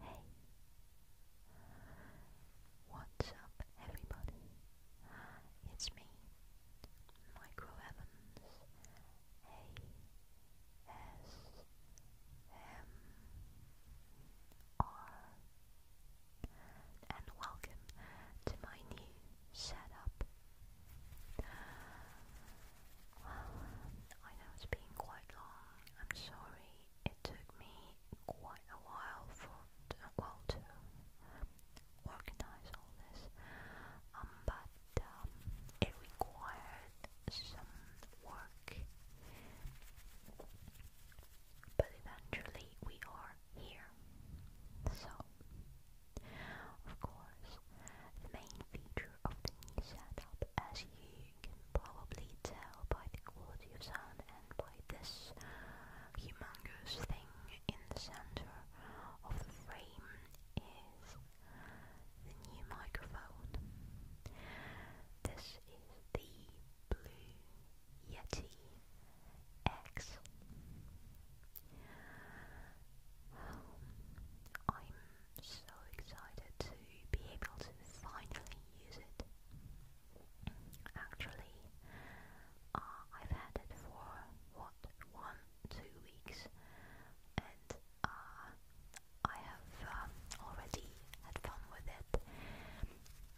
Hey, what's up, everybody? It's me, Micro Evans. A S M R, and welcome to my new setup. I know it's been quite long. I'm sorry. It took me quite a while for to, well to organize all this. Um, but um, it required some work. But eventually we are here. So, of course, the main feature of the new setup, as you you can probably tell by the quality of sound and by this humongous thing in the center of the frame is the new microphone. This is the Blue Yeti X. am um, so excited to be able to finally use it. Actually, uh, I've had it for what one, two weeks, and uh, I have um, already had fun with it,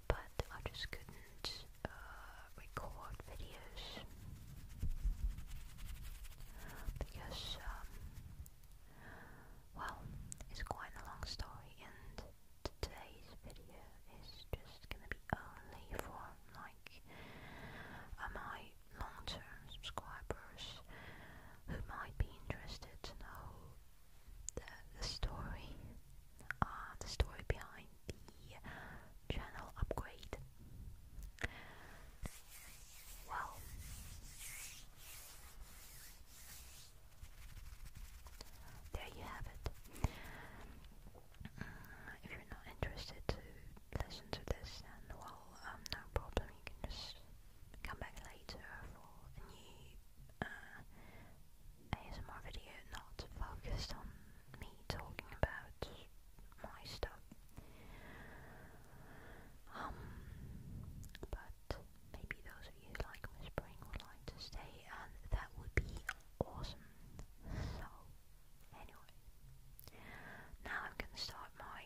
but I just couldn't uh, record videos because. Um, well, it's quite a long story and today's video is just gonna be only for like uh, my long-term subscribers who might be interested to know the, story, uh, the story behind the channel upgrade. Well, there you have it. Mm, if you're not interested to listen to this, then well, um, no problem. You can just come back later for a new uh, ASMR video, not focused on me talking about my stuff. Um, but maybe those of you like whispering would like to stay, and that would be awesome. So, anyway, now I'm gonna start my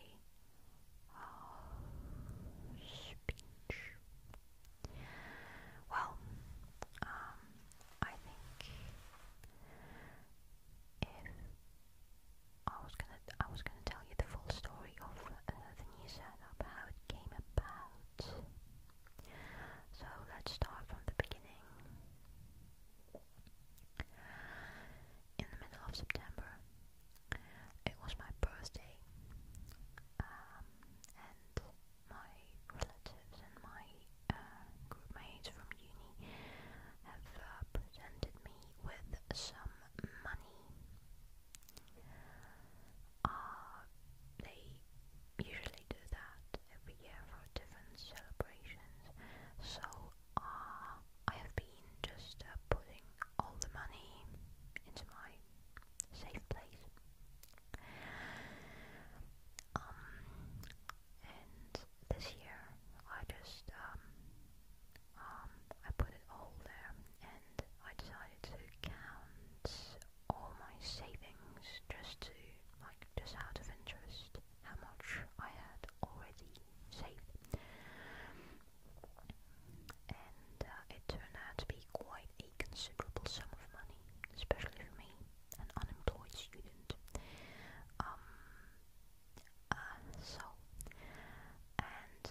uh, speech. Well, um, I think if I was gonna I was gonna tell you the full story of uh, the new setup, how it came about. So let's start from the beginning. In the middle of September, it was my birthday, um, and my relatives and my uh, groupmates from uni have uh, presented me with some money uh, they usually do that every year for different celebrations. So uh, I have been just uh, putting all the money into my safe place. Um, and this year I just um, um, I put it all there and I decided to count all my savings just to, like, just out of interest, how much I had already saved. And uh, it turned out to be quite a considerable sum of money, especially for me, an unemployed student. Um, uh, so, and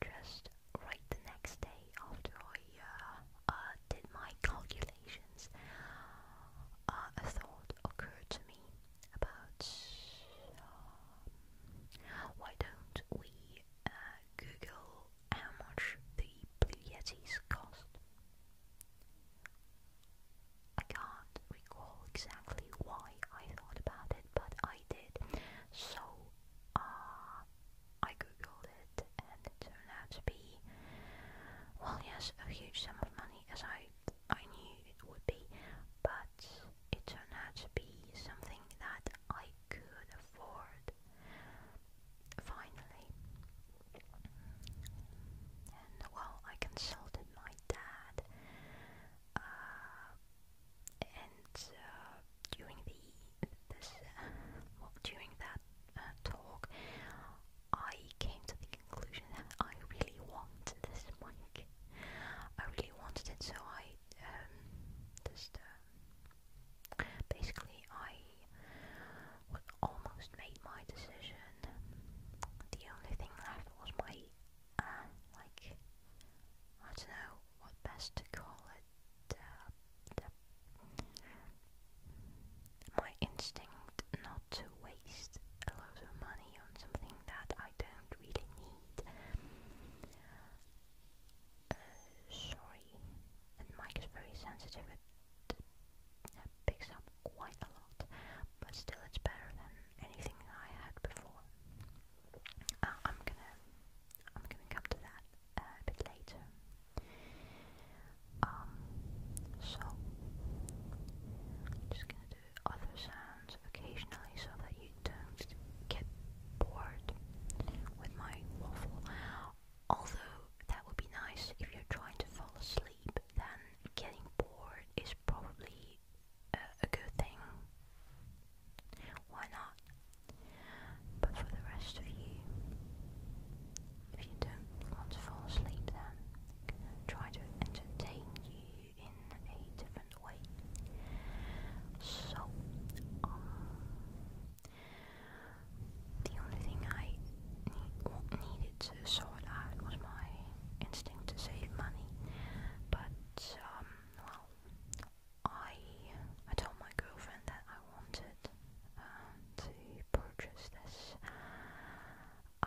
just right the next day after I uh, uh, did my calculations, uh, a thought occurred to me about um, why don't we uh, Google how much the Blue Yetis cost? I can't recall exactly why I thought about it, but I did. So, uh, I googled it, and turned out to be, well, yes, a huge sum of money, as I I knew it would be, but it turned out to be something that I could afford. Finally, well, I consulted my dad. Uh, and uh, during the this uh, well, during that uh, talk, I came to the conclusion that I really want this mic. I really wanted it, so I um, just uh, basically I well, almost made my decision. The only thing left was my uh, like I don't know what best to call it. Uh, my instinct not to waste a lot of money on something that I don't really need. Uh, sorry, and mic is very sensitive. It picks up quite a lot, but still, it's better than anything I had before. Uh, I'm gonna I'm gonna come to that uh, a bit later. Um, so just gonna do other sounds occasionally so that you don't get bored with my waffle. Although that would be nice if you're trying to fall asleep, then getting bored is probably a, good thing. Why not? But for the rest of you, if you don't want to fall asleep, then try to entertain you in a different way. So, um, the only thing I needed to sort out was my instinct to save money, but but um, well, I I told my girlfriend that I wanted uh, to purchase this uh,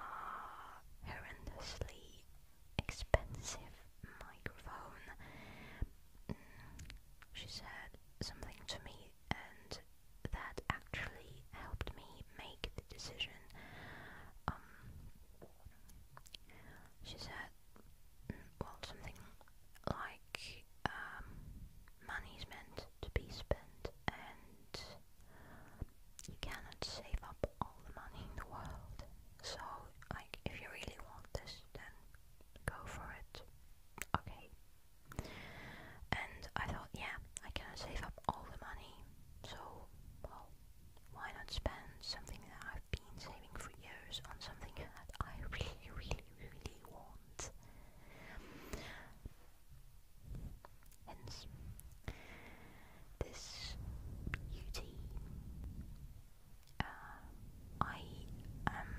horrendously expensive microphone. Mm, she said something to me, and that actually helped me make the decision. Um, she said, mm, well, something like, um, money's meant to be spent and you cannot save up all the money in the world. So, like, if you really want this, then go for it. Okay. And I thought, yeah, I cannot save up all the money, so, well, why not spend something that I've been saving for years on something that I really, really, really want? Hence, this beauty. Uh, I am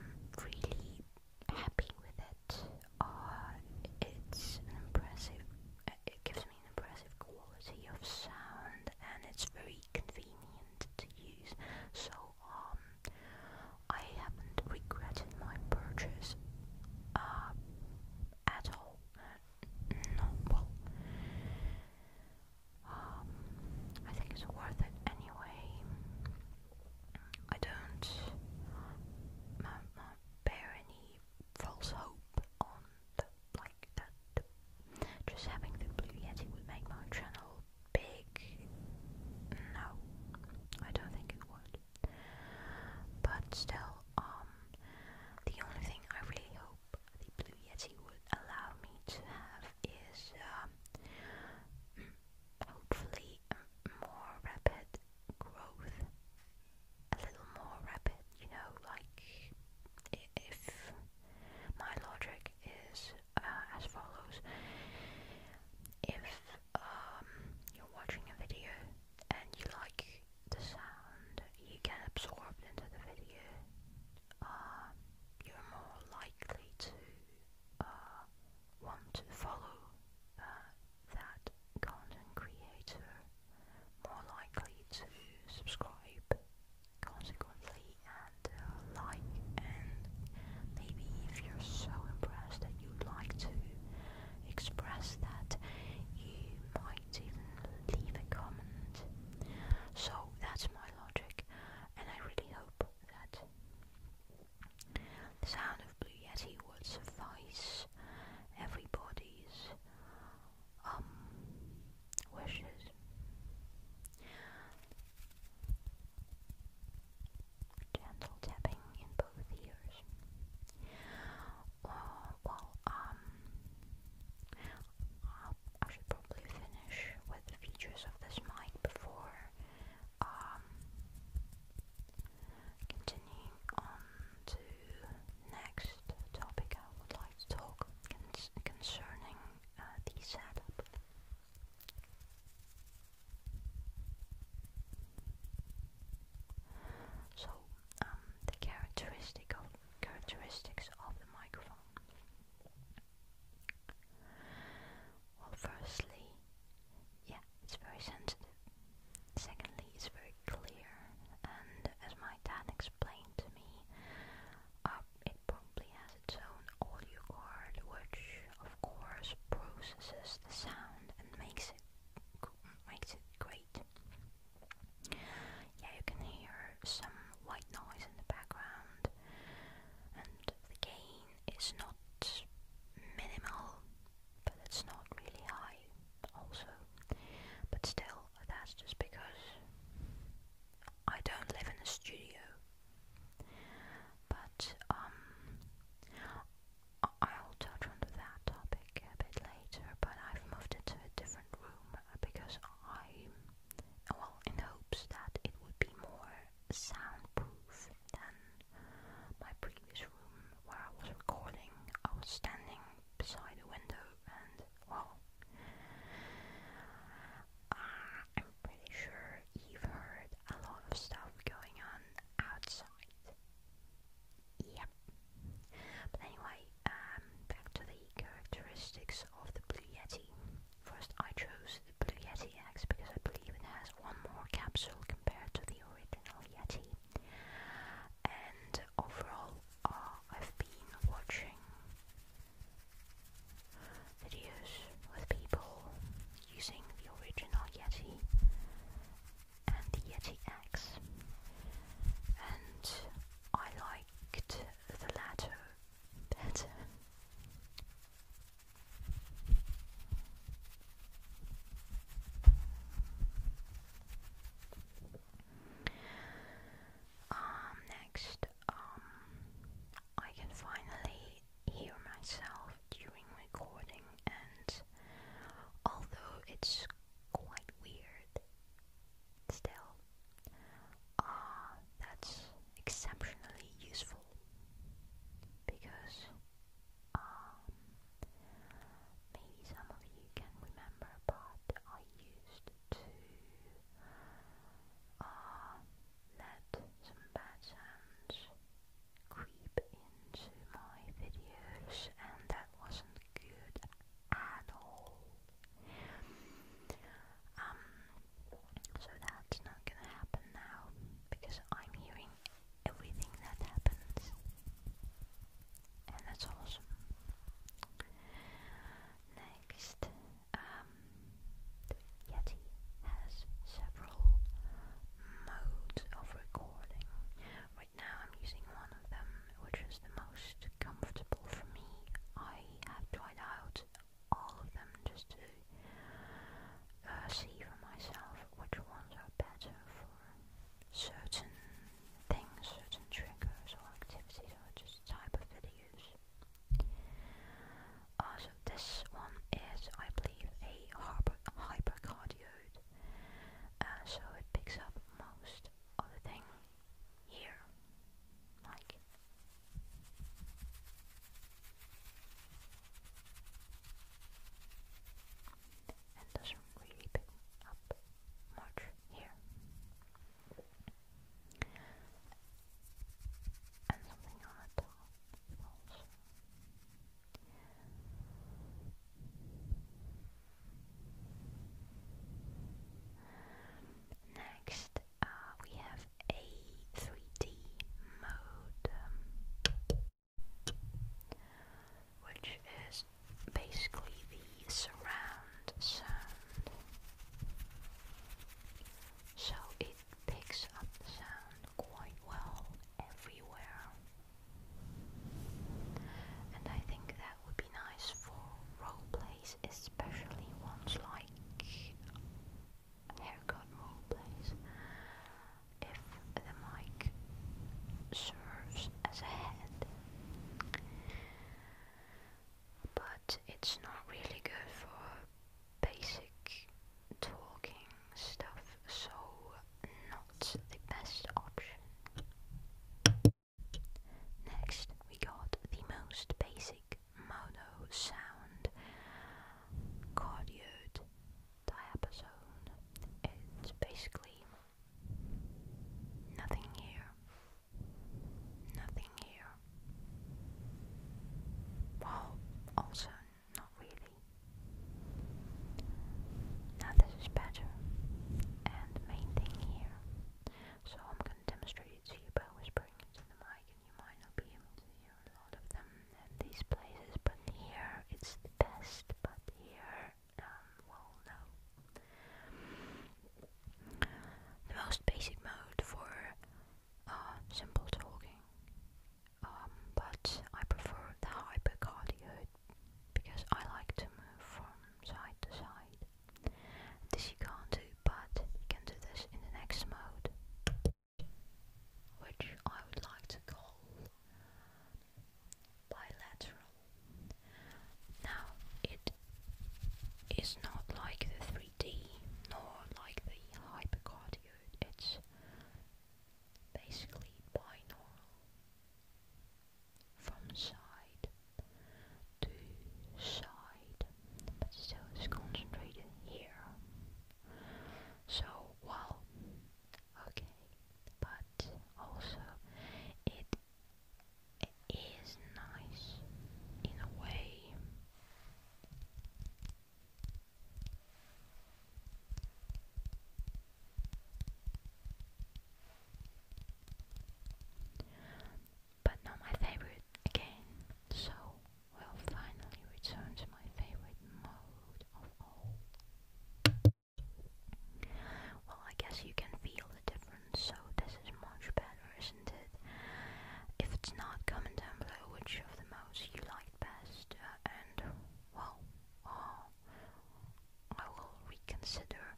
really happy with it. Uh, it's impressive. Uh, it gives impressive quality of sound and it's very convenient to use. So um, I haven't regretted my purchase uh, at all. no, well, um, I think it's worth it anyway. I don't uh, bear any false hope on like that. Just having the Blue Yeti would make my channel big. No, I don't think it would. But still, um, the only thing I really hope the Blue Yeti would allow me to have is, um, hopefully, um, more rapid growth a little more rapid, you know, like if my logic is uh, as follows. If um, you're watching a video and you like the sound you get absorbed into the video, uh, you're more likely to uh, want to follow uh, that content creator more likely to subscribe consequently and uh, like and maybe if you're so impressed that you'd like to express that you might even leave a comment. So that's my logic and I really hope that the sound of Blue Yeti would suffice everybody's um wishes gentle tapping in both ears uh, well um i should probably finish with features of this mic before um continuing on to next topic I would like like to talk concerning uh, the setup. So, um, the characteristics of the microphone. Well, firstly, yeah, it's very sensitive. Secondly, it's very clear, and as my dad explained explained to me. Um, it probably has its own audio card, which of course processes the sound and makes it makes it great. Yeah, you can hear some white noise in the background, and the gain is not minimal, but it's not really high high also. But still, that's just because I don't live in a studio. But um, I'll touch on that topic a bit later. But I've moved it to a different room because I, well, in hopes that it would be more soundproof than my previous room where I was recording. I was standing beside a window and well, uh, I'm pretty sure you've heard a lot of stuff going on outside. Yep. But anyway, um, back to the characteristics of the Blue Yeti. First, I chose the Blue Yeti X because I believe it has one more capsule compared to the original Yeti and overall uh, I've been watching videos with people using the original Yeti and the Yeti X and I liked the latter better. Um, next, um, I can finally hear myself during recording, and although it's quite weird, still, uh, that's exceptionally useful because um, maybe some of you can remember, but I used to uh, let some bad sounds creep into my videos, and that wasn't good at all. Um, so that's not gonna happen now because I'm hearing everything that happens that's awesome. Next, the um, Yeti has several modes of recording. Right now, I'm using one of them, which is the most comfortable for me. I have tried out all of them just to uh, see for myself which ones are better or certain things, certain triggers or activities or just type of videos. Also uh, this one is I believe a hyper uh, so it picks up most of the thing here. Like and doesn't really pick up much here. And something on the top Next, uh, we have a 3D modem which is basically the surround sound. So it picks up the sound quite well everywhere. And I think that would be nice for role plays, especially ones like haircut role plays. If the mic serves as a head, but it's not really good for basic talking stuff, so not the best option. Next, we got the most basic mono sound cardioid diapason. It's basically Nothing here. Nothing here. Well, also, not really. Now this is better. And main thing here. So I'm gonna demonstrate it to you by whispering into the mic and you might not be able to hear a lot of them in these places, but here it's the best, but here um, will The most basic mode for uh, simple talking, um, but I prefer the hypercardioid because I like to move from side to side. This you can't do, but you can do this in the next mode, which I would like to call bilateral. Now, it is not like the 3D nor like the hypercardioid, it's basically binaural from side to side, but still it's concentrated here. So, well, okay, but also it it is nice in a way. But not my favorite again, so we finally return to my favorite mode of all. Well, I guess you can feel the difference, so this is much better, isn't it? If it's not, comment down below which of the most you liked best, uh, and, well, uh, I will reconsider,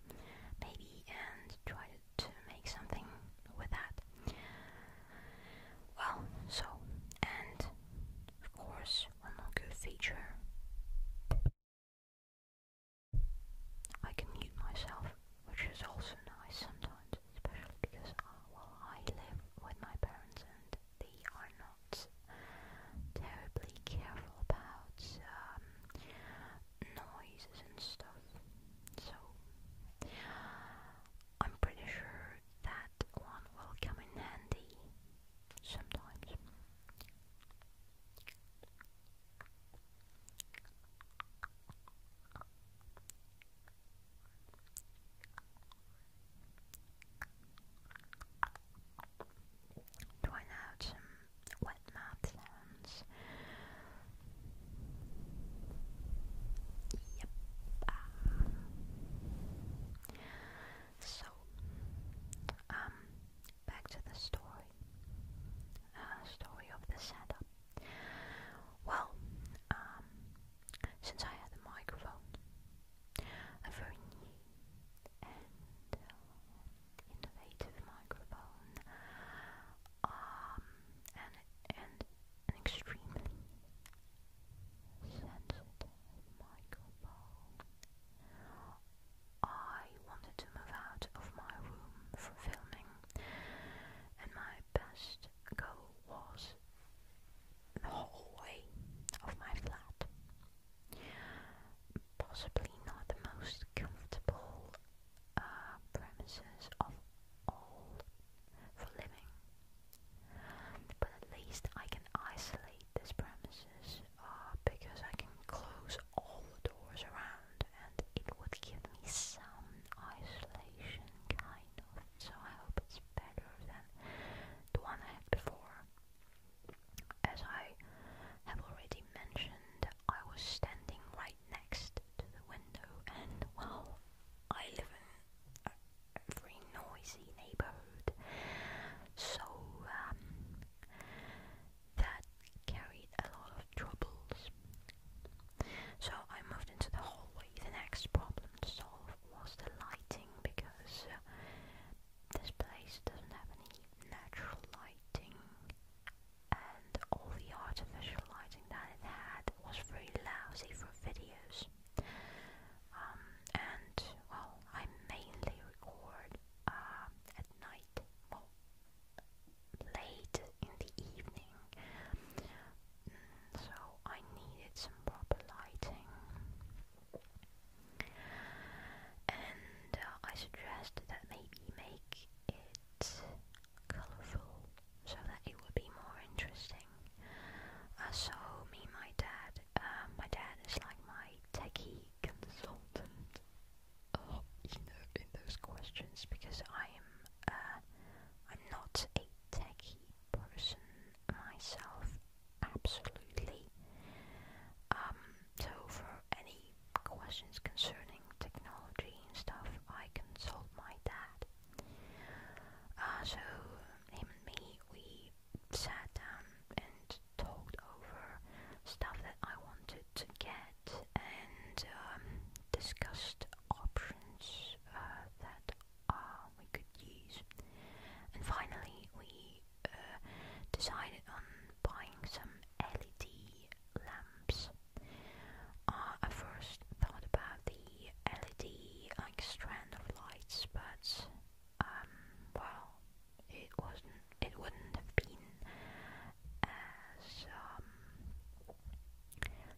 maybe, and try to make something with that. Well, so, and, of course, one more good feature. I can mute myself, which is also nice sometimes, especially because, uh, well, I live with my parents and they are not terribly careful about um, noises and stuff. So, I'm pretty sure that one will come in handy sometimes. Trying out wet mouth sounds. Yep. Ah. So, um, back to the story. Uh, story of the setup. Well, um, since I had the microphone, a very new and uh, innovative microphone, um, and an extremely sensitive microphone. I wanted to move out of my room for filming, and my best goal was the hallway of my flat. Possibly not the most comfortable uh, premises of all for living, but at least I can isolate this premises uh, because I can close all the doors around and it would give me some isolation, kind of. So I hope it's better than the one I had before. As I have already mentioned, I was standing right next to the window, and well, I live in a very noisy neighborhood, so um, that carried a lot of troubles. So I moved into the hallway. The next problem to solve was the lighting because uh, this place doesn't have any natural lighting, and all the artificial lighting that it had was very lousy for videos. Um, and well, I mainly record um, at night, late in the evening. So I needed some proper lighting. And uh, I suggested that maybe make it colorful so that it would be more interesting. Uh, so me, my dad, uh, my dad is like my techie consultant uh, in, in those questions because I'm uh, I'm not a techie person myself, absolutely. Um, so for any questions concerning technology and stuff, I consult my dad. Uh, so him and me, we sat and talked over stuff that I wanted to get and um, discussed options uh, that uh, we could use. And finally, we uh, decided on buying some LED lamps. I first thought about the LED like strand of lights, but um, well, it wasn't, it wouldn't have been as um,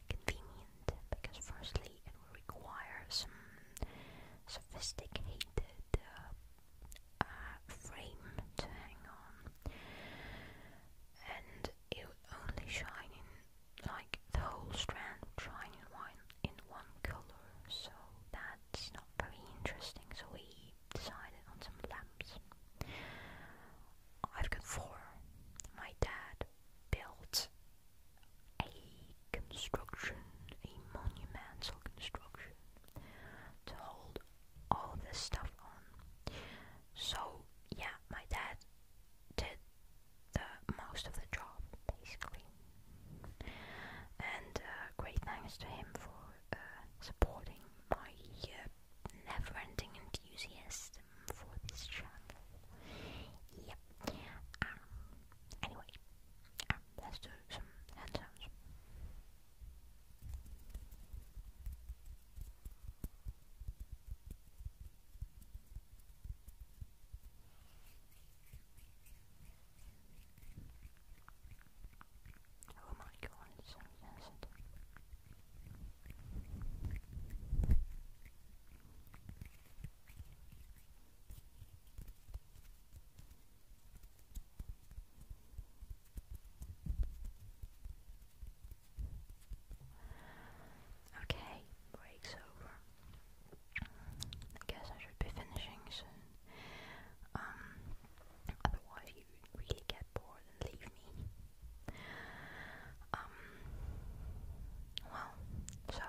convenient because firstly it requires some sophisticated uh, uh, frame to hang on, and it would only shine in like the whole strand shining one in one color, so that it's not very interesting, so we decided on some lamps. I've got four. My dad built a construction, a monumental construction to hold all this stuff on. So, yeah, my dad did the most of the job, basically. And uh, great thanks to him for uh, supporting my uh, never ending enthusiasm for this channel. Yep. Um, anyway, um, let's do some hand Oh my god, Okay, break's over. I guess I should be finishing soon. Um, otherwise, you really get bored and leave me. Um, well, so,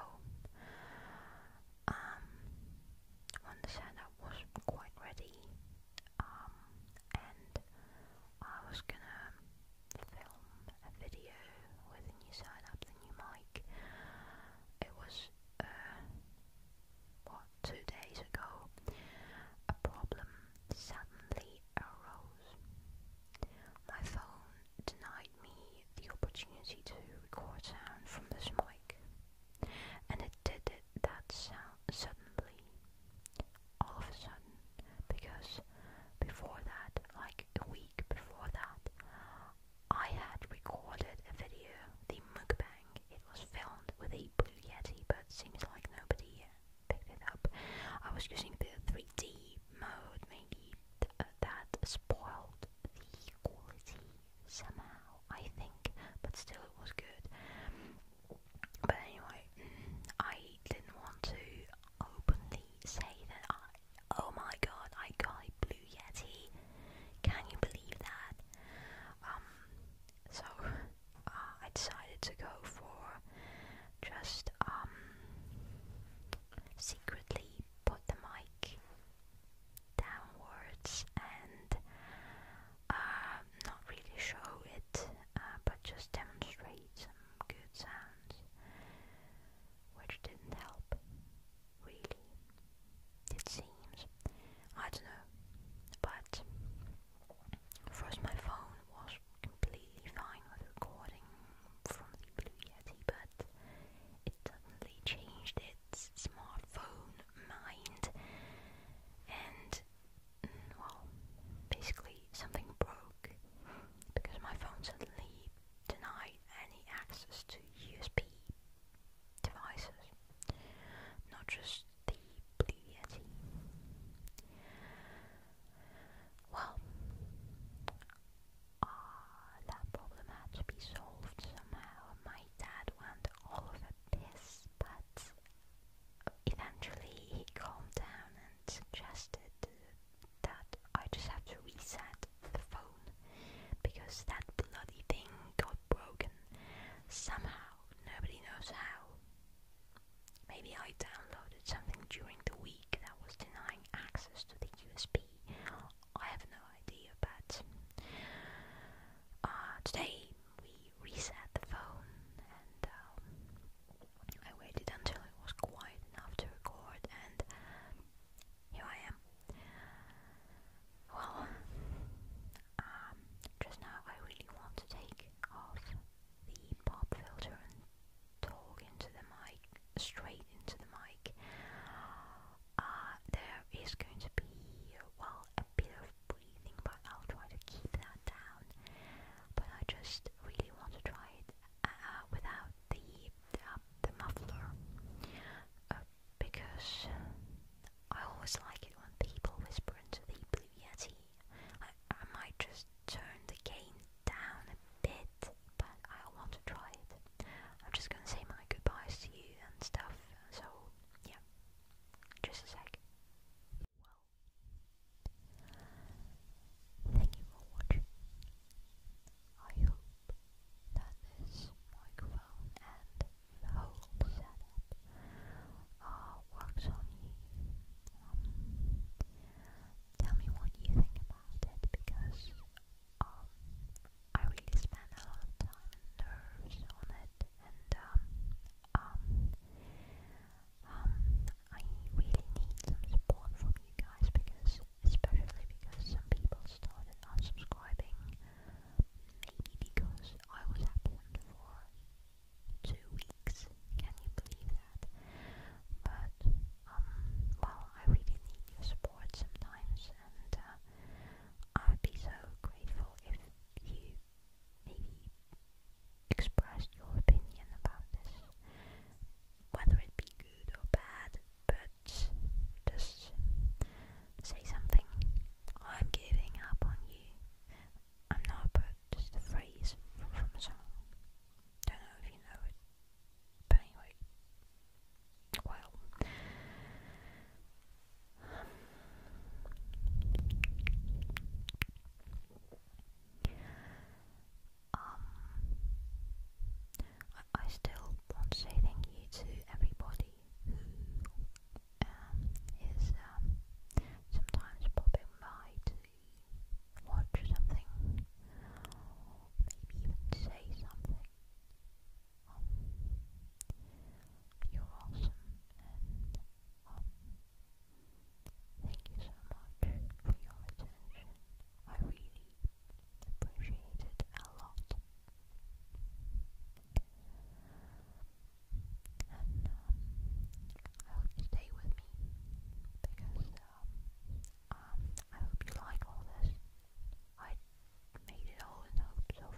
when the setup was quite ready, um, and I was gonna film a video with the new setup, the new mic, it was uh, what two days ago, a problem suddenly arose. My phone denied me the opportunity to record sound from this mic, and it did it that sound suddenly, all of a sudden, because before that, like a week before that, I had recorded a video, the mukbang. It was filmed with a Blue Yeti, but seems like nobody picked it up. I was using the 3D mode, maybe uh, that spoiled the quality somehow, I think, but still it was good. But anyway, I didn't want to openly say that oh my god, I got a Yeti. Can you believe that? Um, so uh, I decided to go for just um, secretly put the mic downwards and uh, not really show it, uh, but just demonstrate some good sounds, which didn't help really, it seems. I don't know, but first my phone was completely fine with recording from the Blue Yeti, but it suddenly changed its smartphone mind, and mm, well, basically something broke because my phone suddenly denied any access to USB devices, not just the Blue Well, uh, that problem had to be solved somehow. My dad went all of a piss, but eventually he calmed down and suggested that I just have to reset the phone because that bloody thing got broken somehow, nobody knows how. Maybe I downloaded something during the week that was denying access to the USB. I have no idea, but uh, today we reset the phone and um, I waited until it was quiet enough to record, and here I am. Well, um, just now I really want to take off the pop filter and talk into the mic, straight into the mic. Uh, there is going to be, well, a bit of breathing, but I'll try to keep that down. But I just really want to try it uh, without the, uh, the muffler because I always like it when people whisper into the Blue Yeti. I, might just turn the gain down a bit, but I want to try it. I'm just gonna say my goodbyes to you and stuff, so yeah, just a sec. Well, thank you for watching. I hope that this microphone and the whole setup works on you. Um, tell me what you think about it because um, I really spend a lot of time and nerves on it and um, I really need some support from you guys because especially because some people started unsubscribing Maybe because I was absent for two weeks. Can you believe that? But, um, well, I really need your support sometimes, and uh, I would be so grateful if you maybe expressed your opinion about this, whether it be good or bad. But just say something. I'm giving up on you. I'm not, but just the phrase from, a song. Don't know if you know it. But anyway. Well. Um, I still want to say thank you to everybody who um, is um, sometimes popping by to watch something, maybe even say something. Um, you're awesome, and um, thank you so much for your attention. I really appreciated a lot. And um, I hope you stay with me because um, um, I hope you like all this. I made it all in hopes of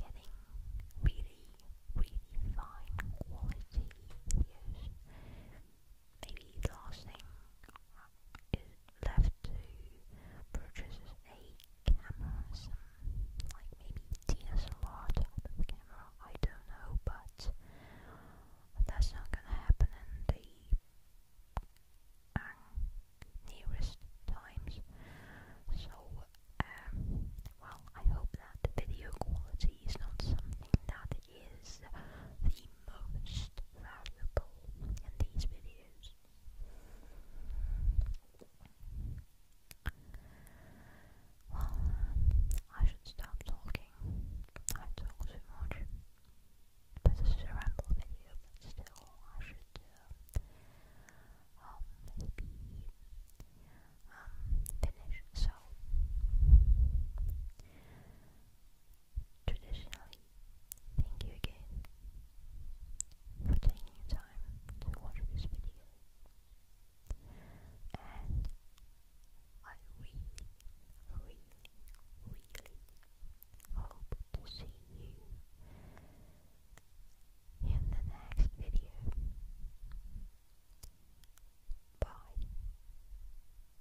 getting really, really fine quality videos maybe the last thing is left to purchase is a camera, some, like maybe Tina camera, I don't know, but that's not gonna happen in the um, nearest times. So, um, well, I hope that the video quality is not something that is the most valuable in these videos. Well, I should stop talking. I talk too much. this is a ramble video, but still, I should maybe um, um, finish. So, Traditionally, thank you again for taking your time to watch this video and I really, really, really hope to see you in the next video. Bye.